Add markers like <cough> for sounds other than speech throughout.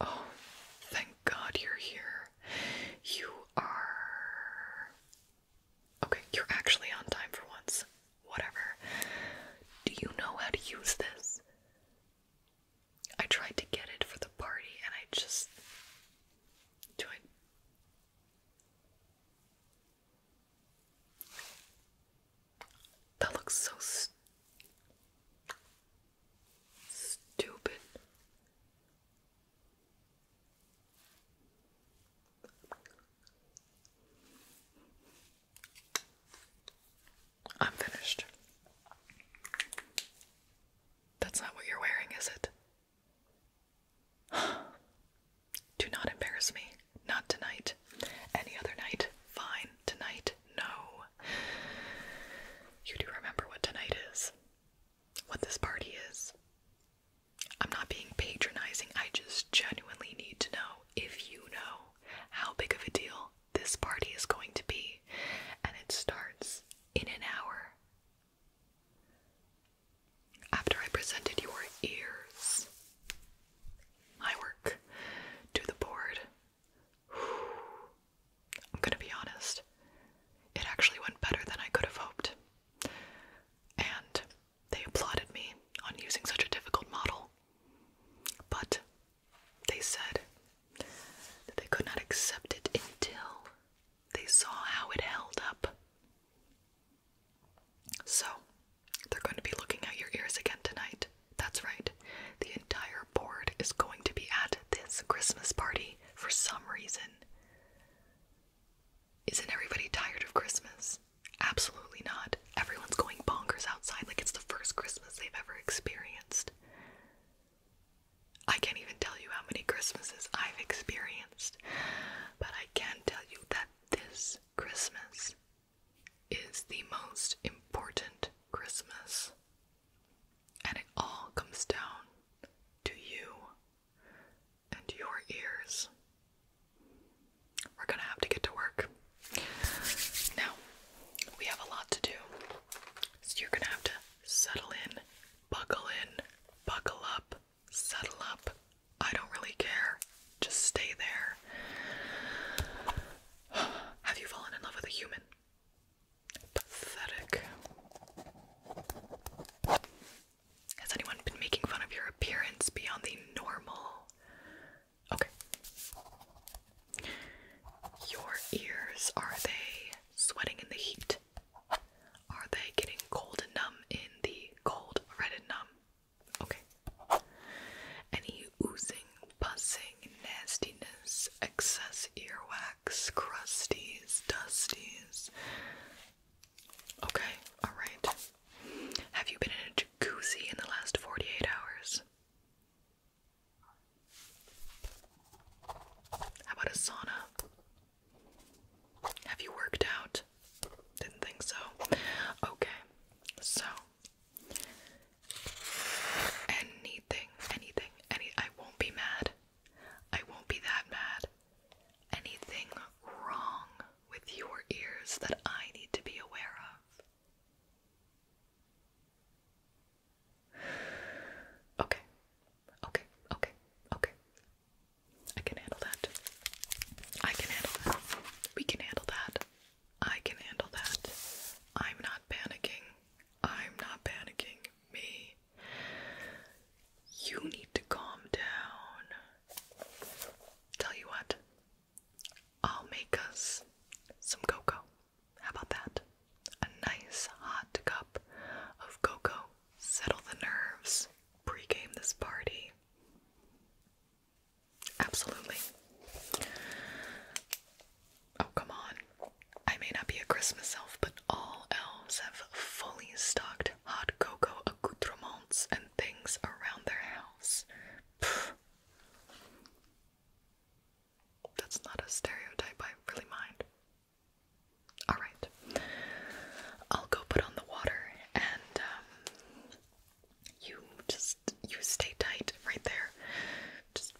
Oh, thank God you're here. You are. Okay, you're actually on time for once. Whatever. Do you know how to use this? I tried to get it for the party and I just. Do I. That looks so stupid. I'm finished. That's not what you're wearing, is it? Do not embarrass me. Not tonight. Any other night? Fine. Tonight? No. You do remember what tonight is. What this party is. I'm not being patronizing. I just genuinely need to know if you know how big of a deal this party is going to be. And it starts in an hour. After I presented your ears my work to the board. <sighs> I'm gonna be honest, it actually went better than I could have hoped. And they applauded me on using such a difficult model. But they said that they could not accept it until they saw how it held up. So they're going to be looking at your ears again tonight. That's right. The entire board is going to be at this Christmas party for some reason. Isn't everybody tired of Christmas? Absolutely not. Everyone's going bonkers outside like it's the first Christmas they've ever experienced. I can't even tell you how many Christmases I've experienced, but I can tell you that this Christmas is the most important Christmas. And it all comes down to you and your ears. We're gonna have to get to work. Now, we have a lot to do. So you're gonna have to settle in, buckle in, buckle up, settle up. I don't really care. Just stay there. <sighs> Have you fallen in love with a human? Pathetic. Has anyone been making fun of your appearance beyond the normal? Okay. Your ears, are they sweating in the heat? Are they getting cold and numb in the cold, red and numb? Okay. Any oozing, buzzing, nastiness, excess earwax, crusties, dusties. Okay, alright. Have you been in a jacuzzi in the last 48 hours? How about a sauna? Have you worked out? Didn't think so. Okay, so Anything, anything, any I won't be mad. I won't be that mad. Anything wrong with your ears that I need to be aware of? Okay. Okay. Okay. Okay. I can handle that. I can handle that. We can handle that. I can handle that. I'm not panicking. I'm not panicking. Me. You need to calm down. Tell you what, I'll make us some cocoa. How about that? A nice hot cup of cocoa. Settle the nerves. Pre-game this party. Absolutely. Oh, come on. I may not be a Christmas elf, but all elves have fully stocked hot cocoa accoutrements and things around their house. Pfft. That's not a stereotype I really mind. Alright. I'll go put on the water and um, you just you stay tight right there. Just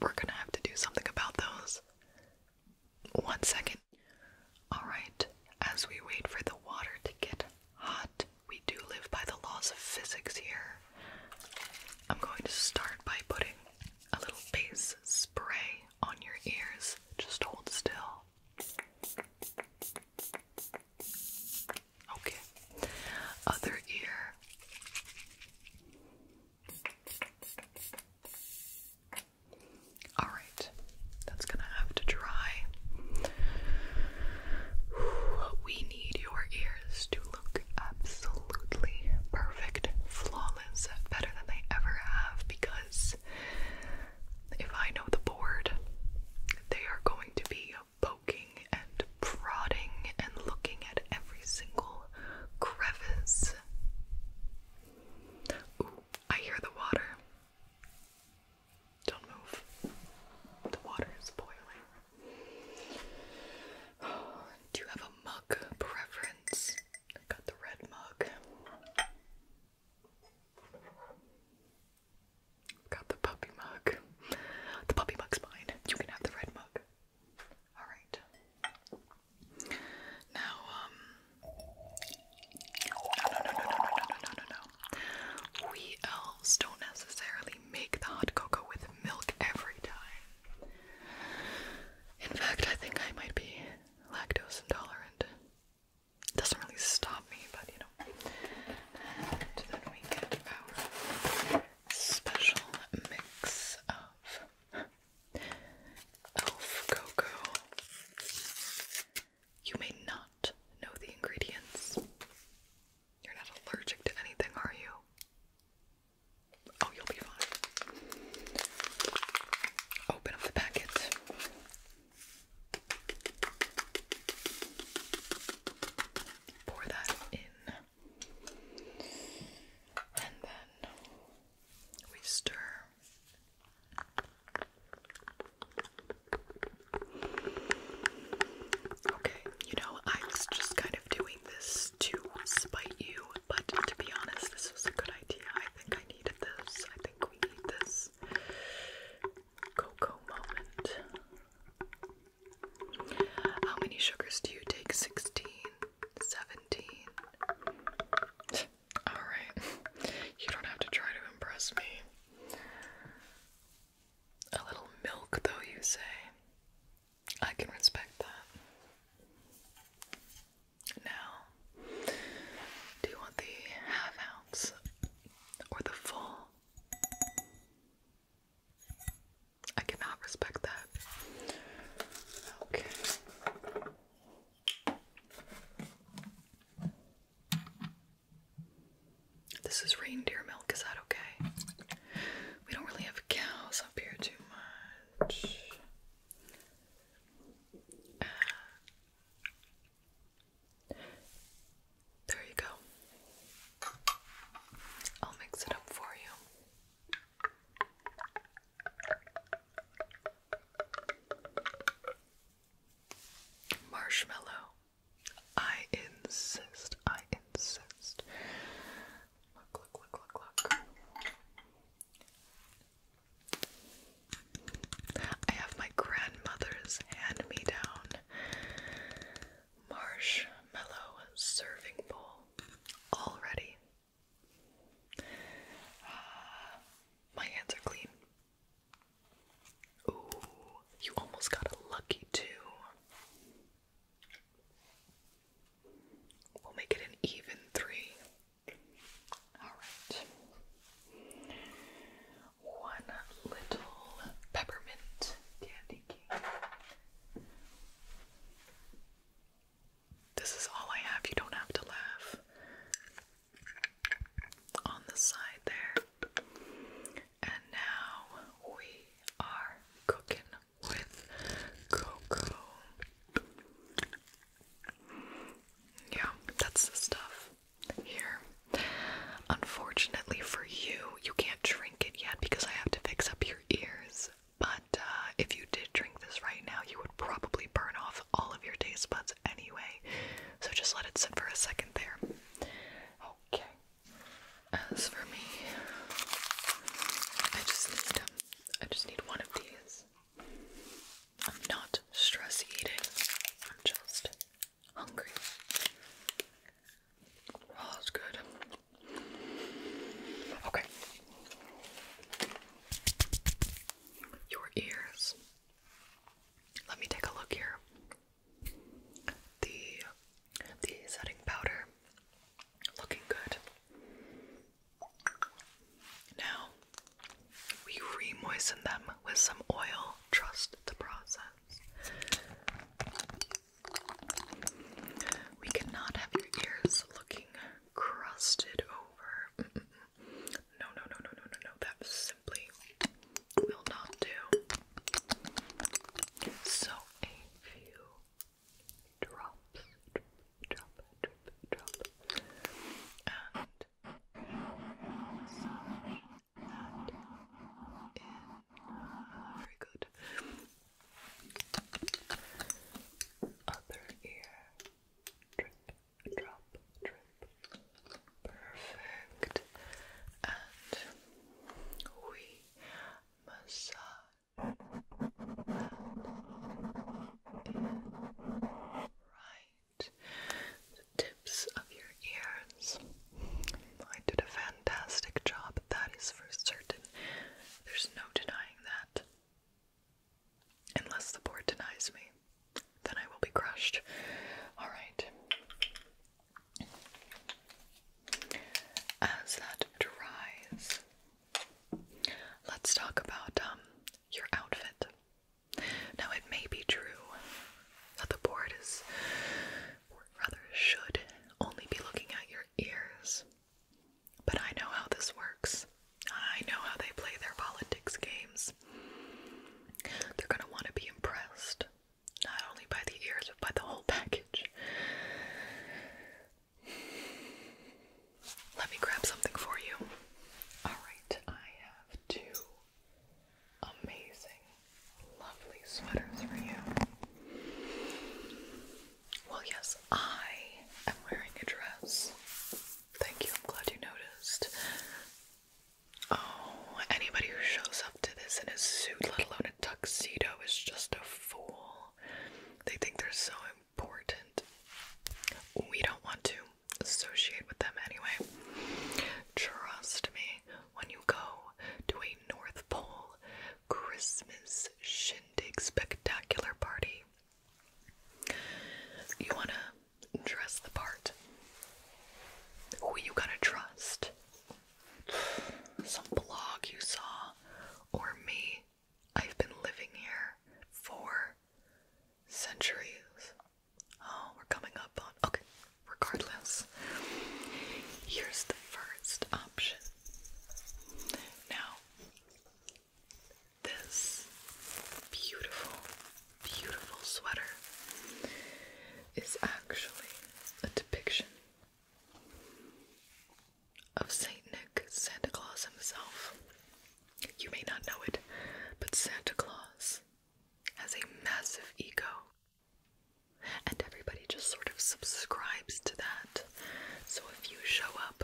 we're gonna have to do something about those. One second. Alright, as we wait for the water to get hot, we do live by the laws of physics here. I'm going to start by putting a little base spray on your ears. Just hold still. Okay. Other ear. All right. That's going to have to dry. We need your ears to look absolutely perfect, flawless, better than they ever have because if I know the board, they are going to be poking and prodding and looking at every single crevice. Ooh, I hear the water. Don't move. The water is boiling. do you have a mug preference? I got the red mug. Got the puppy mug. The puppy mug's mine. You can have the red mug. Alright. Now, No, no, no, no, no, no, no, no, no. We elves don't necessarily make the hot cocoa with milk every time. In fact, I think I might be lactose intolerant. Doesn't really stop me, but you know. And then we get our special mix of elf cocoa. You may not know the ingredients. You're not allergic to anything, are you? Oh, you'll be fine. Open up the packet pour that in. And then we stir. Okay, you know, I was just kind of doing this to spite you, but to be honest, this was a good idea. I think I needed this. I think we need this cocoa moment. How many sugars do you take? 16, 17. Alright, you don't have to try to impress me. A little milk, though, you say. I can respect that. Now, do you want the half ounce or the full? I cannot respect that. Okay. This is reindeer milk, is that okay? We don't really have cows up here too much. Uh, there you go. I'll mix it up for you. Marshmallow. I insist. I insist. Look, look, look, look, look. I have my grandmother's hand me down marshmallow serving bowl already. Uh, my hands are clean. Ooh, you almost got a lucky two. We'll make it an even three. Alright. One little peppermint candy this is all I have. You don't have to laugh. On the side there. And now we are cooking with cocoa. Yeah, that's the stuff here. Unfortunately for you, you can't drink it yet because I have to fix up your ears. But uh, if you did drink this right now, you would probably burn off all of your taste buds anyway. So just let it sit for a second there. Okay. As for me, I just need I just need one of these. I'm not stress eating. I'm just hungry. Oh, that's good. Okay. Your ears. Let me take a look here. The the setting powder looking good. Now we remoisten them with some oil. Trust the process. We cannot have your ears looking crusted over. No, no, no, no, no, no, That simply will not do. So, a few drops, drop, drop, drop, drop. and very good. Other ear. Drip, drop, drip. Perfect. And we massage. That Right. tips of your ears. I did a fantastic job that is for certain. There's no denying that. Unless the board denies me, then I will be crushed. Alright. As that dries, let's talk about um, your outfit. Now, it may be true that the board is or should, only be looking at your ears. But I know how this works. I know how they play their politics games. They're going to want to be impressed, not only by the ears, but by the whole package. Let me grab something for you. Alright, I have two amazing lovely sweaters for you. Well, yes, I am wearing a dress. Thank you, I'm glad you noticed. Oh, anybody who shows up to this in a suit, let alone a tuxedo, is just a fool. They think they're so important. We don't want to associate with them anyway. Trust me, when you go to a North Pole Christmas shindig spectacular party. You want to dress the part. Who you gonna trust? Some blog you saw, or me? I've been living here for centuries. Oh, we're coming up on. Okay, regardless. Here's the first option now, this beautiful, beautiful sweater is actually a depiction of Saint Nick, Santa Claus himself. You may not know it, but Santa Claus has a massive ego. And everybody just sort of subscribes to that. So if you show up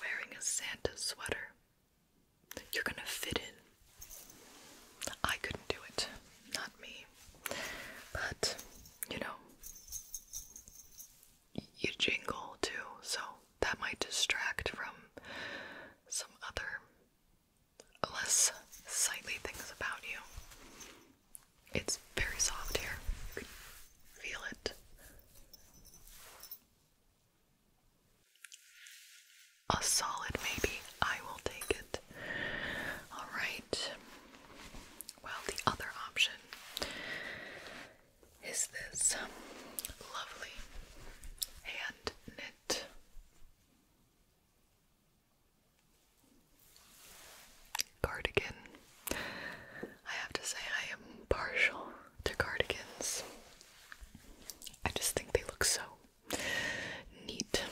wearing a Santa sweater, you're gonna fit in. I couldn't do it, not me. But, you know, you jingle too, so that might distract from some other less sightly things about you. It's very soft here. You can feel it. A solid maybe. I will take it. Alright. Well, the other option is this lovely hand knit Cardigan. I have to say, I am partial to cardigans. I just think they look so neat.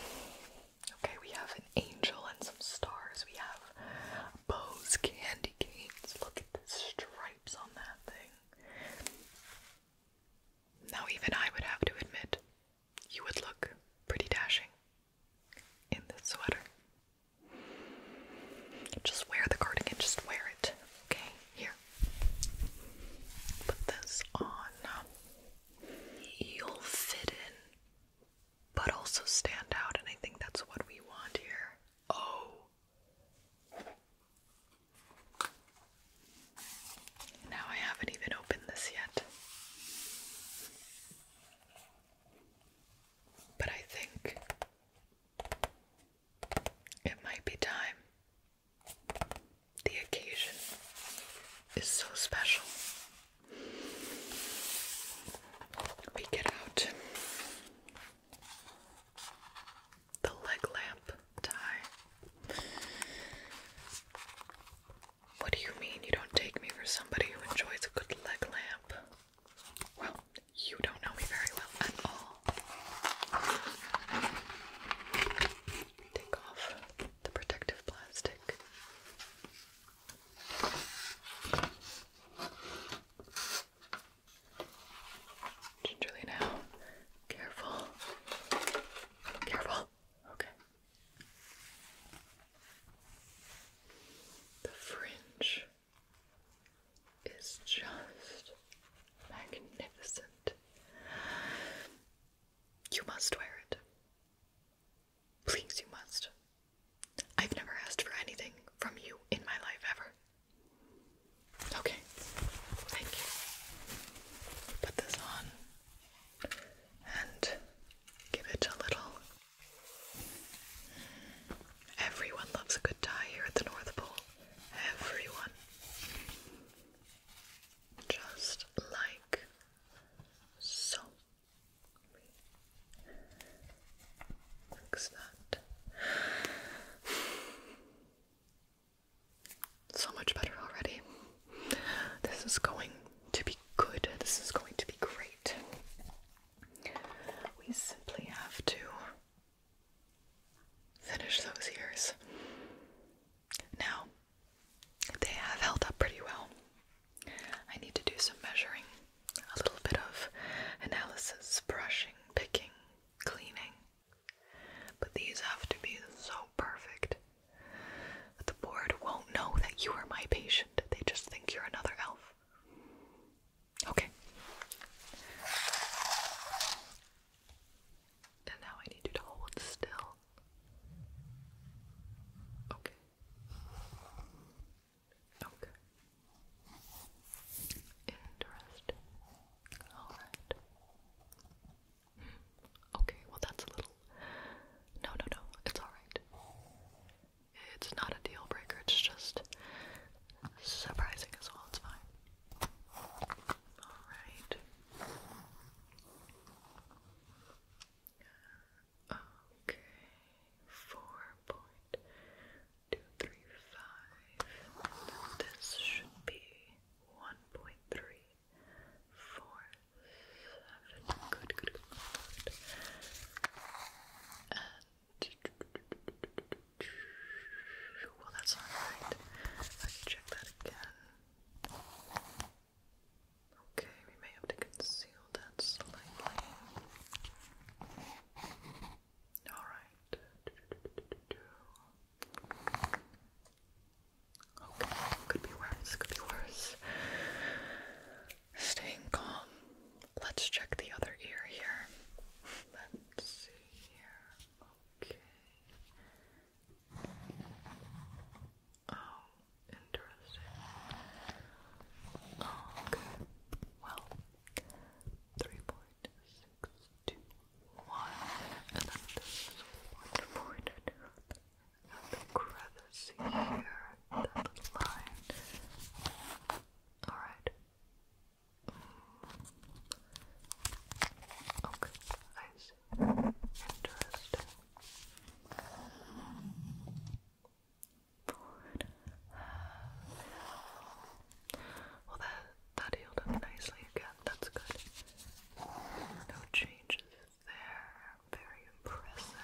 Okay, we have an angel and some stars. We have bows, candy canes. Look at the stripes on that thing. Now, even I would have to admit you would look pretty dashing in this sweater. Just wear the cardigan, just wear it. Okay, here. Put this on. You'll fit in, but also stand out, and I think that's what we want here. Oh. Now I haven't even opened this yet. But I think it might be time. The occasion is so special. We get out the leg lamp tie. What do you mean you don't take me for somebody who enjoys a good leg lamp? Well, you don't know me very well at all. Take off the protective plastic. Gingerly now. Careful. Careful. Okay. The fringe is just magnificent. You must wear it. Please, you must. I've never asked for anything from you in my life ever. Okay, thank you. Put this on and give it a little Everyone loves a good tie here at the North Pole. Everyone. Just like so. Fix that. <sighs> So much better already. This is going to be good. This is going to be great. We simply have to finish those ears. Now, they have held up pretty well. I need to do some measuring, a little bit of analysis, brushing, picking, cleaning. But these have to be so perfect that the board won't know that you are my patient. They just think you're another elf. Okay. And now I need you to hold still. Okay. Okay. Interesting. Alright. Hmm. Okay, well that's a little. No, no, no. It's alright. It's not a deal breaker, it's just surprising as well, it's fine. Alright. Okay, four point two three five. This should be one point three four seven. Good, good, good well, that's not right. I can check that again. Okay, we may have to conceal that slightly. Alright. Okay, could be worse, could be worse. Staying calm. Let's check the other ear here. Let's see here. Okay. Oh, interesting. okay. Oh, well, 3.621. And then this And the see here, that little line. Alright. Okay, I see. Interesting. Well, that, that healed up nicely again. That's good. No changes there. Very impressive.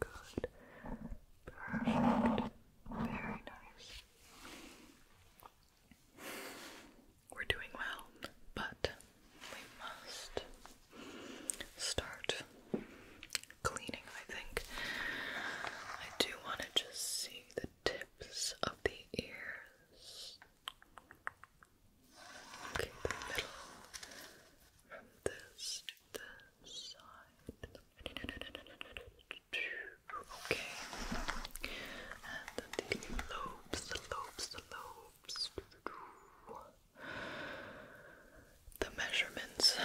Very good. Perfect. Very nice. We're doing well, but we must start cleaning, I think. I do want to just see the tips of the ears. Okay, the middle from this to this side, Okay. And the lobes, the lobes, the lobes. The measurements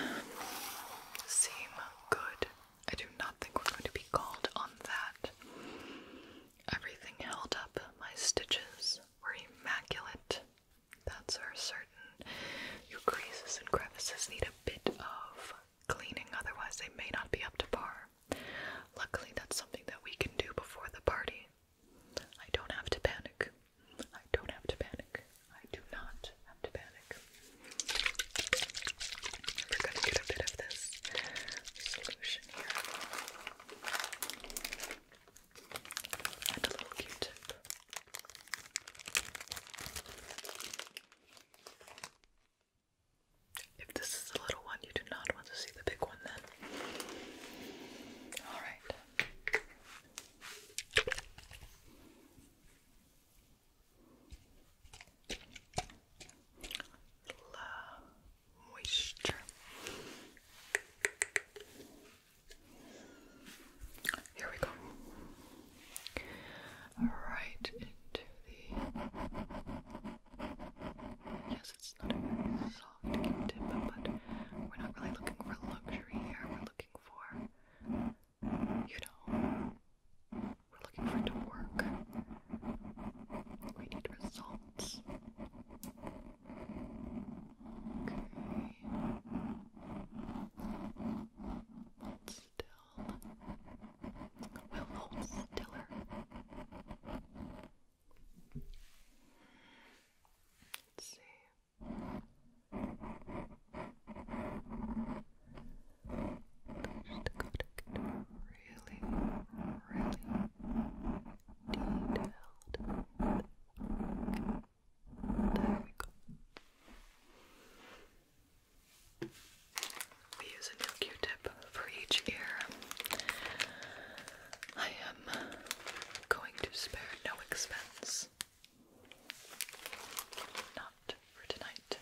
seem good. I do not think we're going to be called on that. Everything held up. My stitches were immaculate. That's our certain. Your creases and crevices need a bit of cleaning, otherwise, they may not be up to par. Luckily, that's something that we can do before the party. I don't have to panic. I don't have to panic. I do not have to panic. We're gonna get a bit of this solution here. And a little Q-tip. If this is the little one, you do not want to see the big one then. Alright. La moisture. Here we go. Right into the. Yes, it's not soft Q-tip, but we're not really looking for luxury here. We're looking for, you know, we're looking for it to work. We need results. Okay. Hold still. Well, hold stiller. Let's see. Just to go to really, really detailed. There we go. We use a new Q-tip for each ear. I am going to spare no expense. Not for tonight.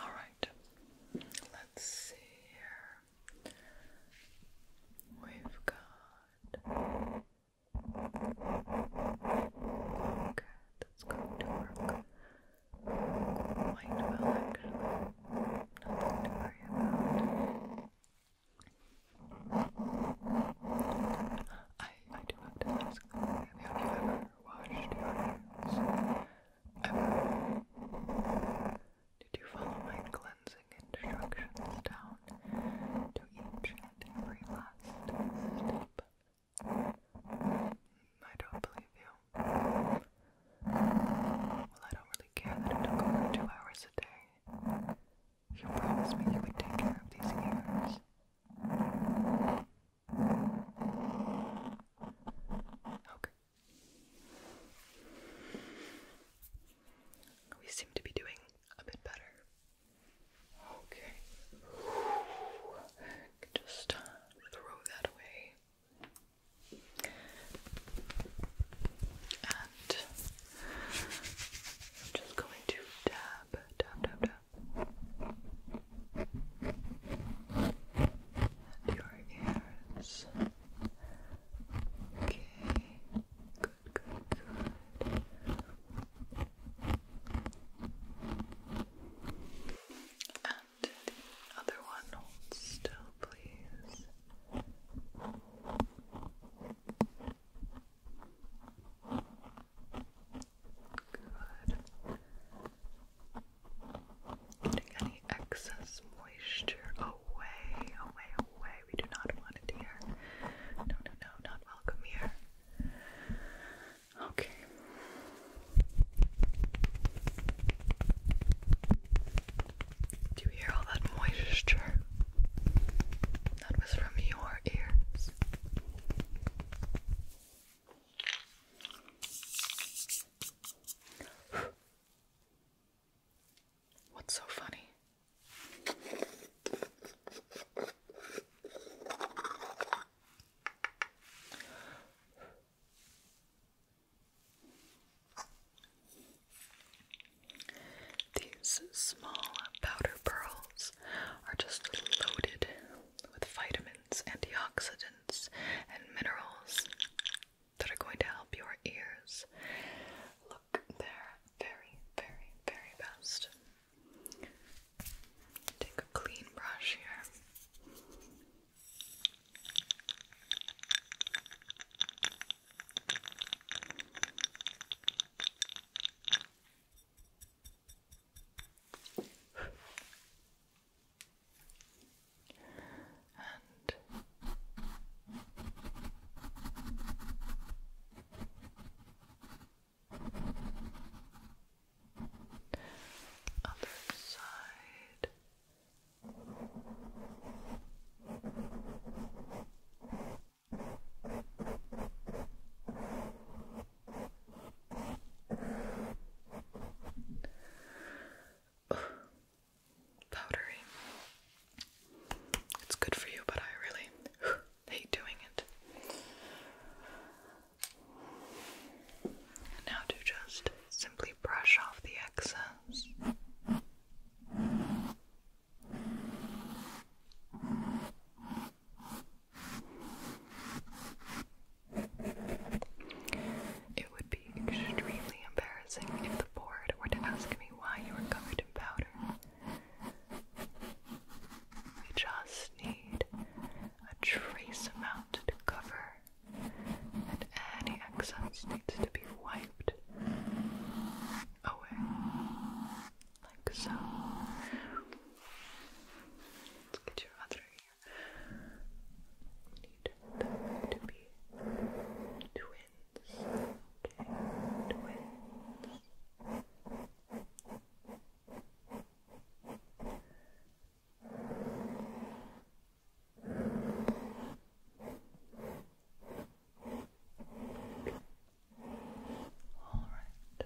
All right, let's see here. We've got. Okay, that's going to work I, I do have to ask, have you ever washed your hands did you follow my cleansing instructions down to each and every last I don't believe you. Well, I don't really care that it took over two hours a day. You promised me you would take care of these ears. Okay. We seem to be doing a bit better. Okay. Just uh, throw that away. And I'm just going to dab, dab, dab, dab and your ears. Okay, good, good, good. And the other one, hold still, please. Good. Getting any excess moisture away, away, away. We do not want it here. No, no, no, not welcome here. Okay. Do you hear all that moisture? That was from your ears. <sighs> What's so funny? These small powder pearls are just loaded with vitamins, antioxidants and minerals that are going to help your ears look their very, very, very best. Take a clean brush here and other side. <sighs> powdery. It's good for you, but I really <sighs> hate doing it. now to just simply brush off the excess. It would be extremely embarrassing if the board were to ask me why you were covered in powder. We just need a trace amount to cover, and any excess needs to be wiped away. Like so. Let's get your other need them to be twins. twins. All right.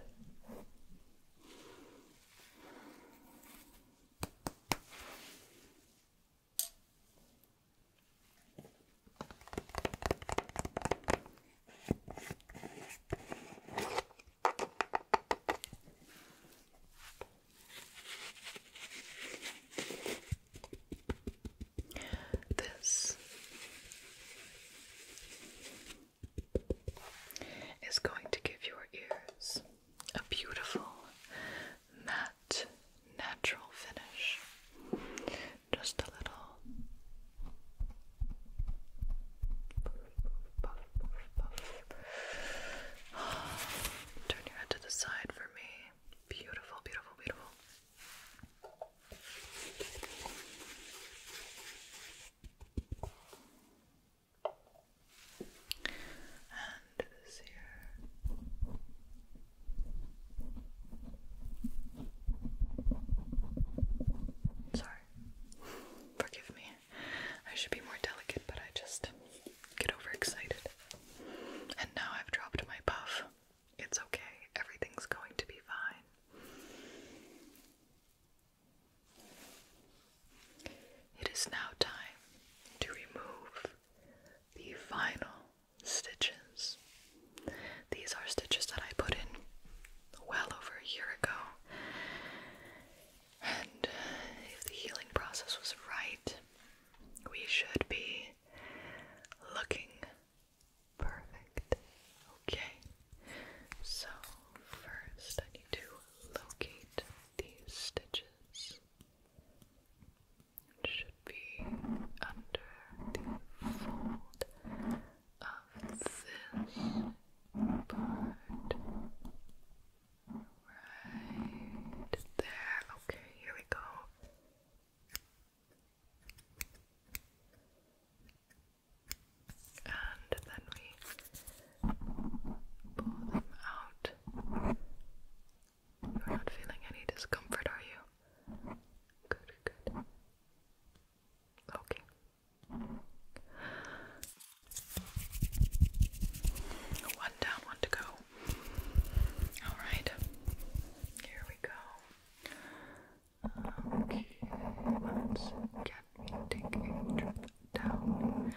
This is going to give your ears a beautiful matte natural finish. Just a little Turn your head to the side for me. Beautiful, beautiful, beautiful and this here. Sorry, forgive me. I should be more delicate, but I just get overexcited. And now I've dropped my puff. It's okay, everything's going to be fine. It is now time to remove the final stitches. These are stitches that I put in well over a year ago. And if the healing process was right, we should be looking perfect. Okay, so first I need to locate these stitches. It should be under the fold of this part. Right there. Okay, here we go. And then we pull them out you're not feeling any discomfort, are you? Good, good. Okay. One down, one to go. Alright. Here we go. let's get me taking a trip down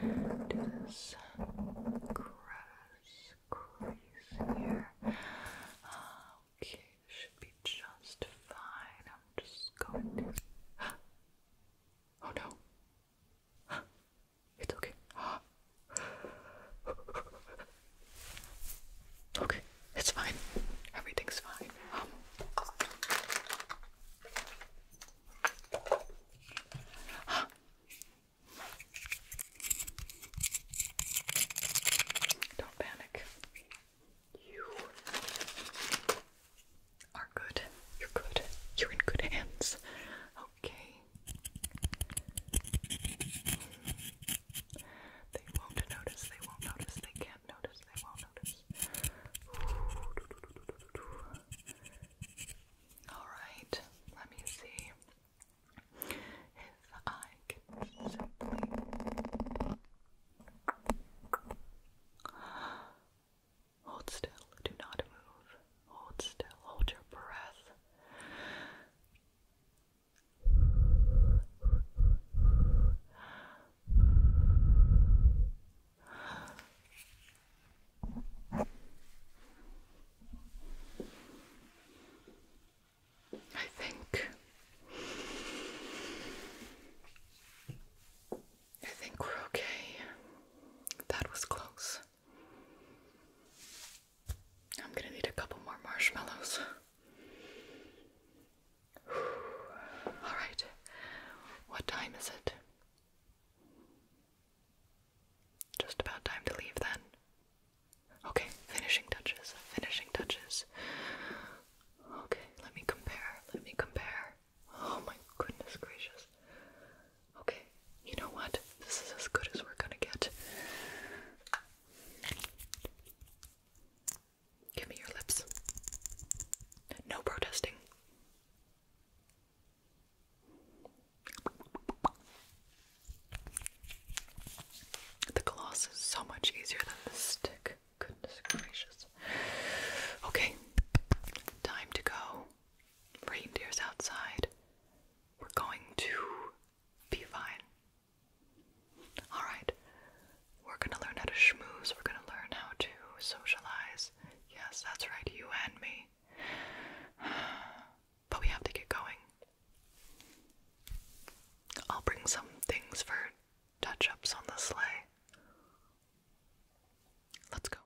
to this grass crease here. Okay, should be just fine. I'm just going to. <gasps> Oh no! <gasps> It's okay. <gasps> Okay, it's fine. Everything's fine. Um, don't panic. You are good. You're good. You're in good hands. Okay. They won't notice. They won't notice. They can't notice. They won't notice. All right. Let me see. If I can simply hold still, do not move, hold still, hold your breath. I think I think we're okay. That was close. I'm gonna need a couple more marshmallows. Alright, what time is it? Just about time to leave then. Okay, finishing touches, finishing touches. Okay, let me compare, let me compare. Oh my goodness gracious. Okay, you know what? This is as good as we're gonna get. Give me your lips. No protesting. The gloss is so much easier than the stick. Goodness gracious. Okay, time to go. Reindeer's outside. We're going to be fine. Alright, we're gonna learn how to schmooze, we're gonna learn how to socialize. Yes, that's right, you and me. <sighs> But we have to get going. I'll bring some things for touch ups on the sleigh. Let's go.